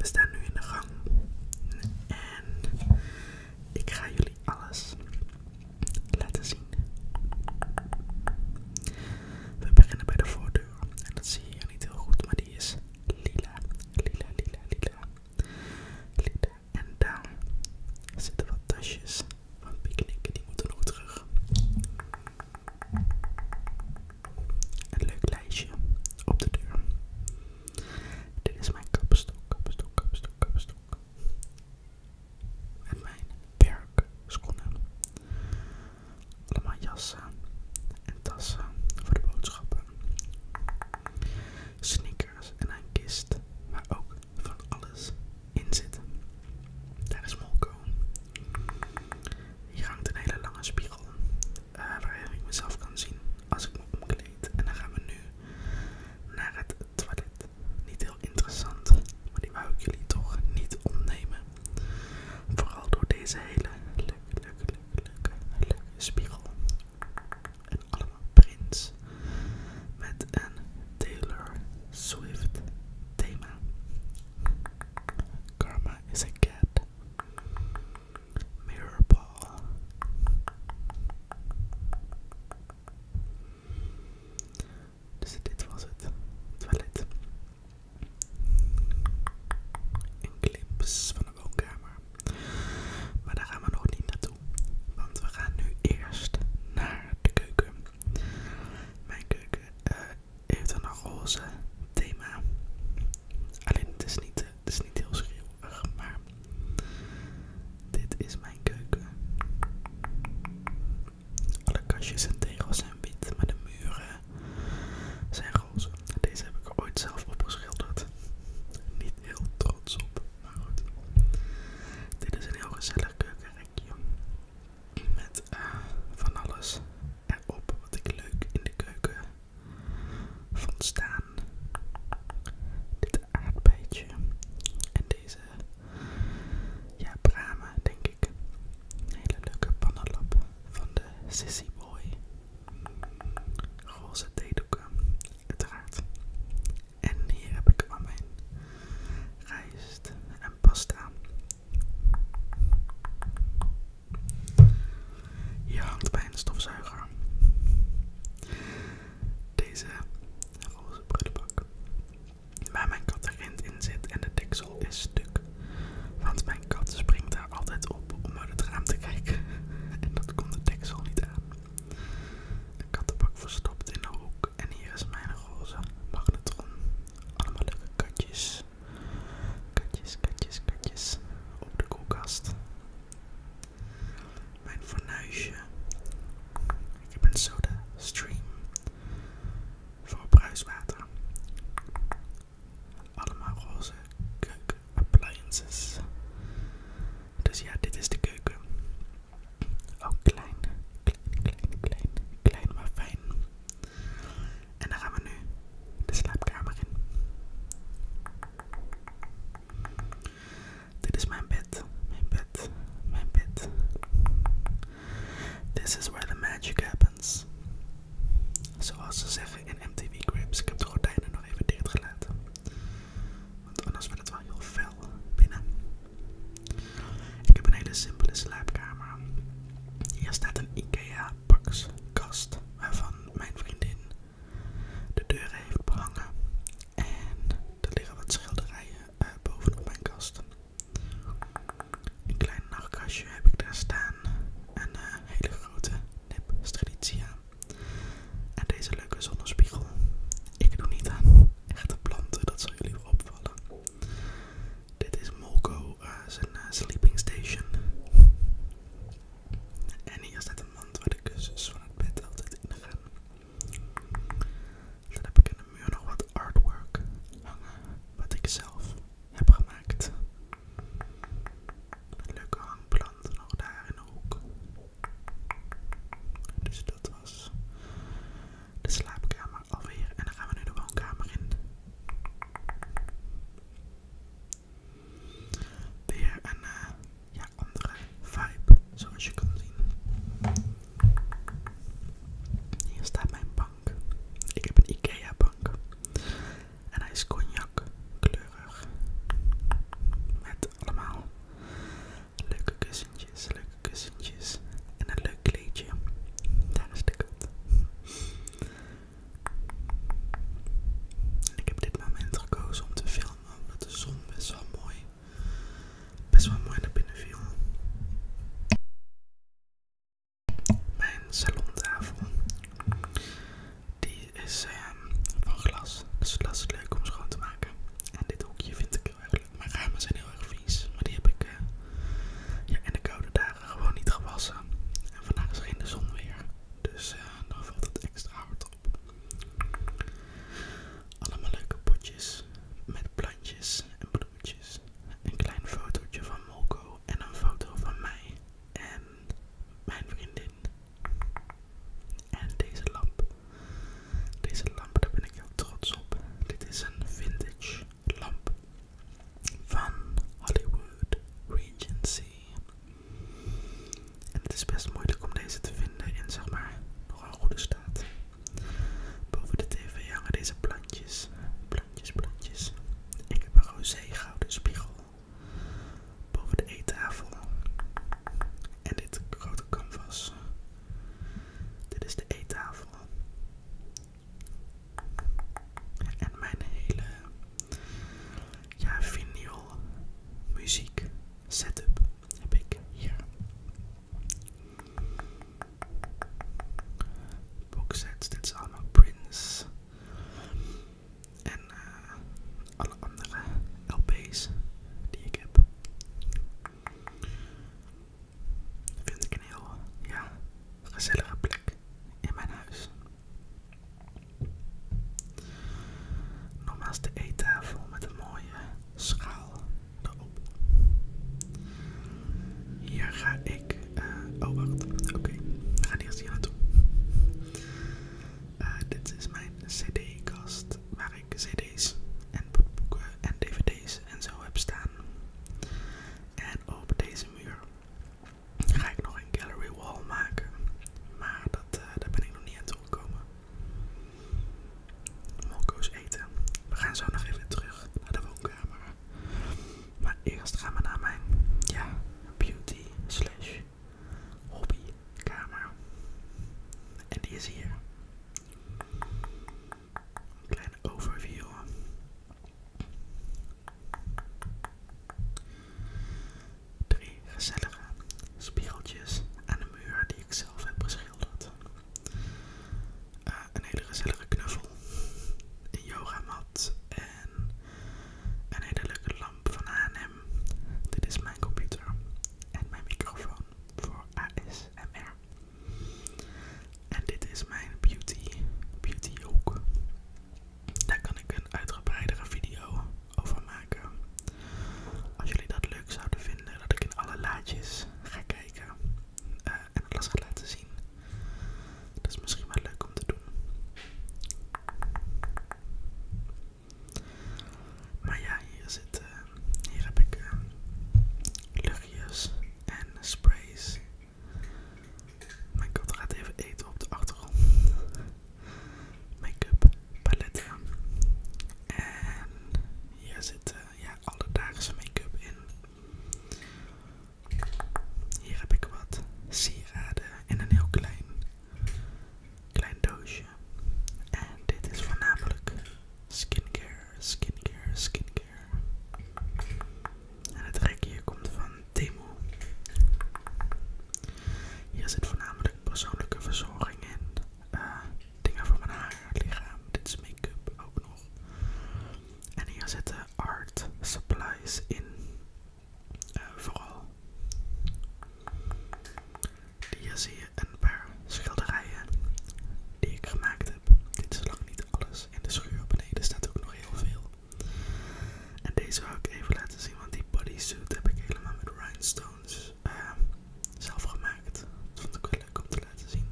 We staan nu in de gang. En ik ga jullie alles laten zien. We beginnen bij de voordeur. En dat zie je hier niet heel goed, maar die is lila. Lila, lila, lila. Lila. En daar zitten wat tasjes van picknicken. Die moeten nog terug. Een leuk lijstje op de deur. Dit is mijn kapstok, kapstok, kapstok, kapstok. En mijn werkschoenen. Allemaal jassen en tassen voor de boodschappen. Sneakers en een kist waar ook van alles in zit. Daar is Molko. Hier hangt een hele lange spiegel eh, waar ik mezelf kan zien als ik me omkleed. En dan gaan we nu naar het toilet. Niet heel interessant, maar die wou ik jullie toch niet ontnemen. Vooral door deze hele leuke, leuke, leuke, leuke, spiegel. En allemaal prints met een Taylor Swift thema. Karma is a cat mirror Dus dit was het toilet. Een clips van de woonkamer. Maar daar gaan we nog niet naartoe. Want we gaan nu eerst naar de keuken. Mijn keuken eh, heeft een roze thema. Alleen het is niet, heel schreeuwerig, maar dit is mijn keuken. Alle kastjes en tegels zijn wit, maar de muren zijn roze. Deze heb ik ooit zelf opgeschilderd. Niet heel trots op, maar goed. Dit is een heel gezellig keukenrekje. Met eh, van alles erop wat ik leuk in de keuken van staan. Dit aardbeetje en deze ja, bramen, denk ik. Een hele leuke pannenlap van de Sissy Boy. Roze theedoeken, uiteraard. En hier heb ik al mijn rijst en pasta. Hier hangt bij stofzuiger. Deze roze prullenbak. Waar mijn kat erin zit en de deksel is stuk. Want mijn kat springt daar altijd op om uit het raam te kijken. En dat komt de deksel niet aan. De kattenbak verstopt in de hoek. En hier is mijn roze magnetron. Allemaal leuke katjes. Katjes, katjes, katjes. Op de koelkast. Mijn fornuisje. Ik heb een soda stream voor bruiswater. Allemaal roze keuken appliances. Dus ja, dit is de keuken. Ook klein, klein, klein, klein, klein maar fijn. En dan gaan we nu de slaapkamer in. Dit is mijn bed, mijn bed, mijn bed. This is where the magic happens. Zoals ze zeggen in MTV Grips. Ik heb de gordijnen nog even gelaten. Want anders wordt het wel heel fel binnen. Ik heb een hele simpele slaapkamer. Hier staat een IKEA boxkast waarvan mijn vriendin de deuren heeft behangen. En er liggen wat schilderijen boven eh, bovenop mijn kasten. Een klein nachtkastje heb ik daar staan. Een hele grote nep En deze leuke zonnespiegel. Ik doe niet aan echte planten, dat zou jullie opvallen. Dit is Molko, eh, zijn eh, sleeping station. En hier staat een mand waar de kussens van het bed altijd in gaan. Dan heb ik in de muur nog wat artwork hangen, wat ik zelf heb gemaakt. Een leuke hangplant nog daar in de hoek. Dus dat was de slaapkamer alweer. En dan gaan we nu de woonkamer in. Weer een eh, ja, andere vibe, zoals je kan zien. Hier staat mijn bank. Ik heb een Ikea bank. En hij is cognac kleurig. Met allemaal leuke kussentjes, leuke kussentjes. En een leuk kleedje. Daar is de en Ik heb dit moment gekozen om te filmen kwamen. Omdat de zon best wel mooi, best wel mooi naar binnen viel. Mijn salontafel. Die is ehm, van glas. Dus dat is leuk om schoon te maken. En dit hoekje vind ik heel erg leuk. Mijn ramen zijn heel erg vies. Maar die heb ik eh, ja, in de koude dagen gewoon niet gewassen. En vandaag is de zon weer. Dus eh, dan valt het extra hard op. Allemaal leuke potjes met plantjes en bloemetjes. Een klein fotootje van Molko en een foto van mij en mijn vriendin. En deze lamp. Deze lamp, daar ben ik heel trots op. Dit is een vintage lamp van Hollywood Regency. En het is best moeilijk om deze te vinden in zeg maar nog een goede staat. Boven de tv hangen deze plantjes, plantjes, plantjes. Ik heb een roze gouden spiegel. Boven de eettafel. En dit grote canvas. Dit is de eettafel. En mijn hele ja, vinyl muziek setup heb ik hier. Boxsets, dit zijn allemaal prints. En eh, alle andere LP's die ik heb. Vind ik een heel ja, gezellige plek in mijn huis. Nogmaals de eettafel met een mooie schaal erop. Hier ga ik. Eh, oh, wacht. Oké, we gaan hier naartoe. Eh, dit is mijn CD-kast waar ik CD's en boeken en DVD's en zo heb staan. En op deze muur ga ik nog een gallery wall maken. Maar dat, eh, daar ben ik nog niet aan toegekomen. Mokko's eten. We gaan zo nog even terug naar de woonkamer. Maar eerst gaan we naar mijn ja, beauty slash hobbykamer. En die is hier. kleine overview. Drie gezellige spiegeltjes aan de muur die ik zelf heb geschilderd, eh, een hele gezellige knuffel, een yogamat en een hele leuke lamp van H&M. Dit is mijn computer en mijn microfoon voor ASMR. En dit is mijn beauty, beauty ook. Daar kan ik een uitgebreidere video overmaken Als jullie dat leuk zouden vinden, dat ik in alle laadjes ga kijken eh, en alles ga laten zien. Dat is misschien wel leuk om te doen. Maar ja, hier, zit, eh, hier heb ik eh, luchtjes en sprays. Mijn kat gaat even eten op de achtergrond make-up paletten. En hier zit ja, alledaagse make-up in. Hier heb ik wat sieraden in een heel klein, klein doosje. En dit is voornamelijk skincare, skincare, skincare. En het rekje hier komt van Temu. Hier zit voornamelijk persoonlijke verzorging in. Eh, dingen voor mijn haar, lichaam. Dit is make-up ook nog. En hier zitten art supplies in. Eh, vooral. Hier zie je een paar schilderijen die ik gemaakt heb. Dit is lang niet alles. In de schuur beneden staat ook nog heel veel. En deze wou ik even laten zien, want die bodysuit heb ik helemaal met rhinestones Ehm, zelf gemaakt. Dat vond ik wel leuk om te laten zien.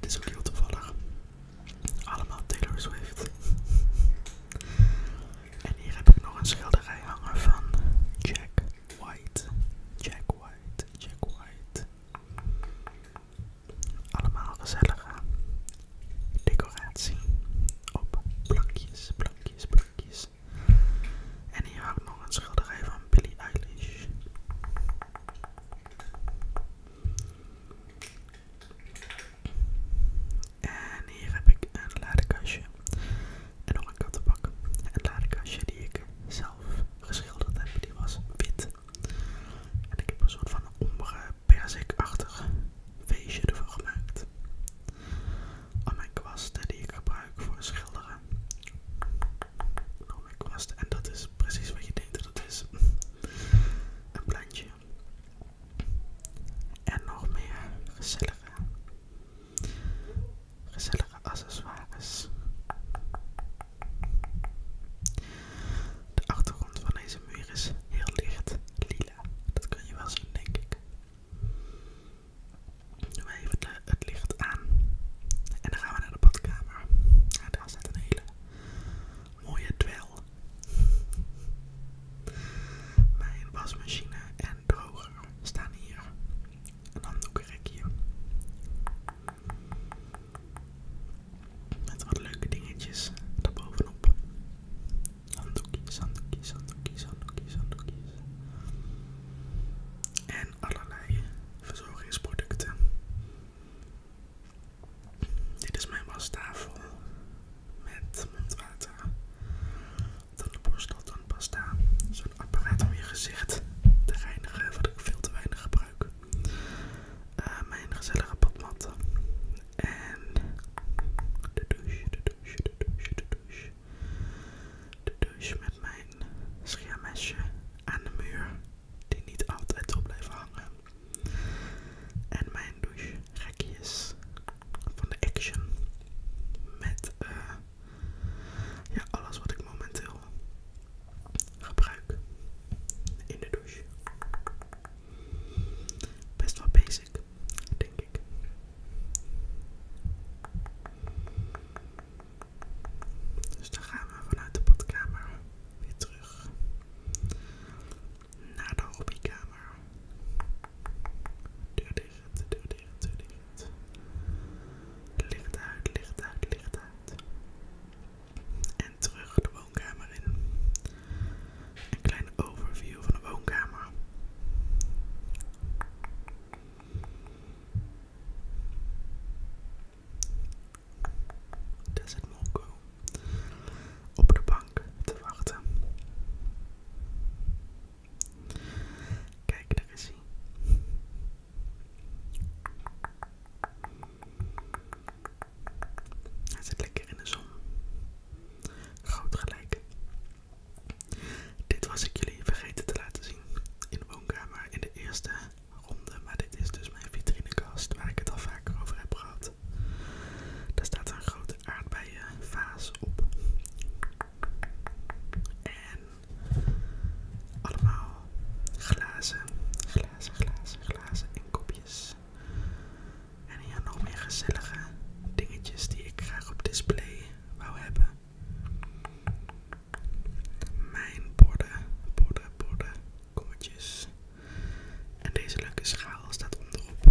Dit is ook heel toevallig. Allemaal Taylor Swift. en hier heb ik nog een schilderij hangen van Jack White. Jack White, Jack White. Allemaal gezellige decoratie op plankjes, plankjes, plankjes. En hier hangt nog een schilderij van Billy Eilish. En hier heb ik een ladekastje en nog een kattenbak. Een ladekastje die ik zelf geschilderd heb, die was wit. En ik heb een soort van ombre persikachtig feestje ervoor gemaakt aan mijn kwasten die ik gebruik voor schilderen. Aan mijn kwasten. En dat is precies wat je denkt dat het is. Een plantje. En nog meer gezellige, gezellige accessoires. De achtergrond van deze muur is heel licht lila. Dat kun je wel zien, denk ik. Doen even het licht aan. En dan gaan we naar de badkamer. daar staat een hele mooie dwel. Mijn wasmachine en droger staan hier. Een handdoekenrekje. Met wat leuke dingetjes daarbovenop. Handdoekjes, handdoekjes, handdoekjes, handdoekjes, handdoekjes en allerlei verzorgingsproducten. Dit is mijn wastafel met mondwater. Dan de borstel, dan pasta. Zo'n apparaat om je gezicht te reinigen, wat ik veel te weinig gebruik. Eh, mijn gezellige badmat. En de douche, de douche, de douche, de douche. De douche met mijn scheermesje aan de muur, die niet altijd wil blijven hangen. En mijn douche rekjes van de Action. Met eh, ja, alles wat ik momenteel gebruik in de douche. Best wel basic, denk ik. Dus dan gaan we vanuit de badkamer weer terug naar de hobbykamer. Deur dicht, deur dicht, deur dicht. Licht uit, licht uit, licht uit. En terug de woonkamer in. Een kleine overview van de woonkamer. Daar dus zit Molko op de bank te wachten. Kijk, daar is hij. Hij zit lekker in de zon. Goud gelijk. Dit was ik jullie vergeten te laten zien in de woonkamer in de eerste ronde. Maar dit is dus mijn vitrinekast waar ik het al vaker over heb gehad. Daar staat een grote aardbeienvaas op. En allemaal glazen, glazen, glazen, glazen en kopjes. En hier nog meer gezellige dingetjes die ik graag op display wou hebben mijn borden, borden, borden, kommetjes. En deze leuke schaal staat onderop.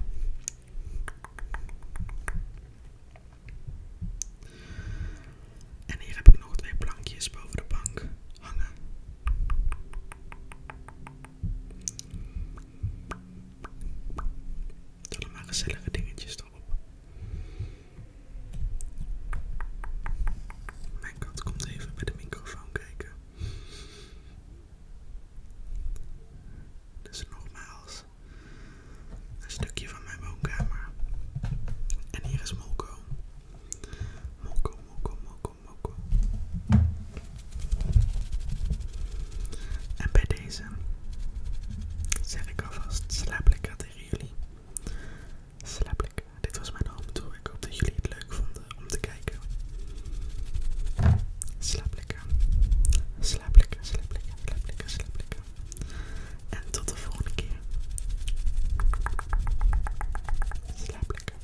En hier heb ik nog twee plankjes boven de bank hangen. Het zijn allemaal gezellige dingetjes mijn kat komt even bij de microfoon kijken. Dus nogmaals, een stukje van mijn woonkamer. En hier is Molko. Molko, Molko, Molko, Molko. En bij deze zeg ik alvast slaap lekker tegen jullie. Slaap lekker. Dit was mijn home toer. Ik hoop dat jullie het leuk vonden om te kijken. Slaap lekker. Slaap lekker, slaap lekker, slaap En tot de volgende keer. Slaap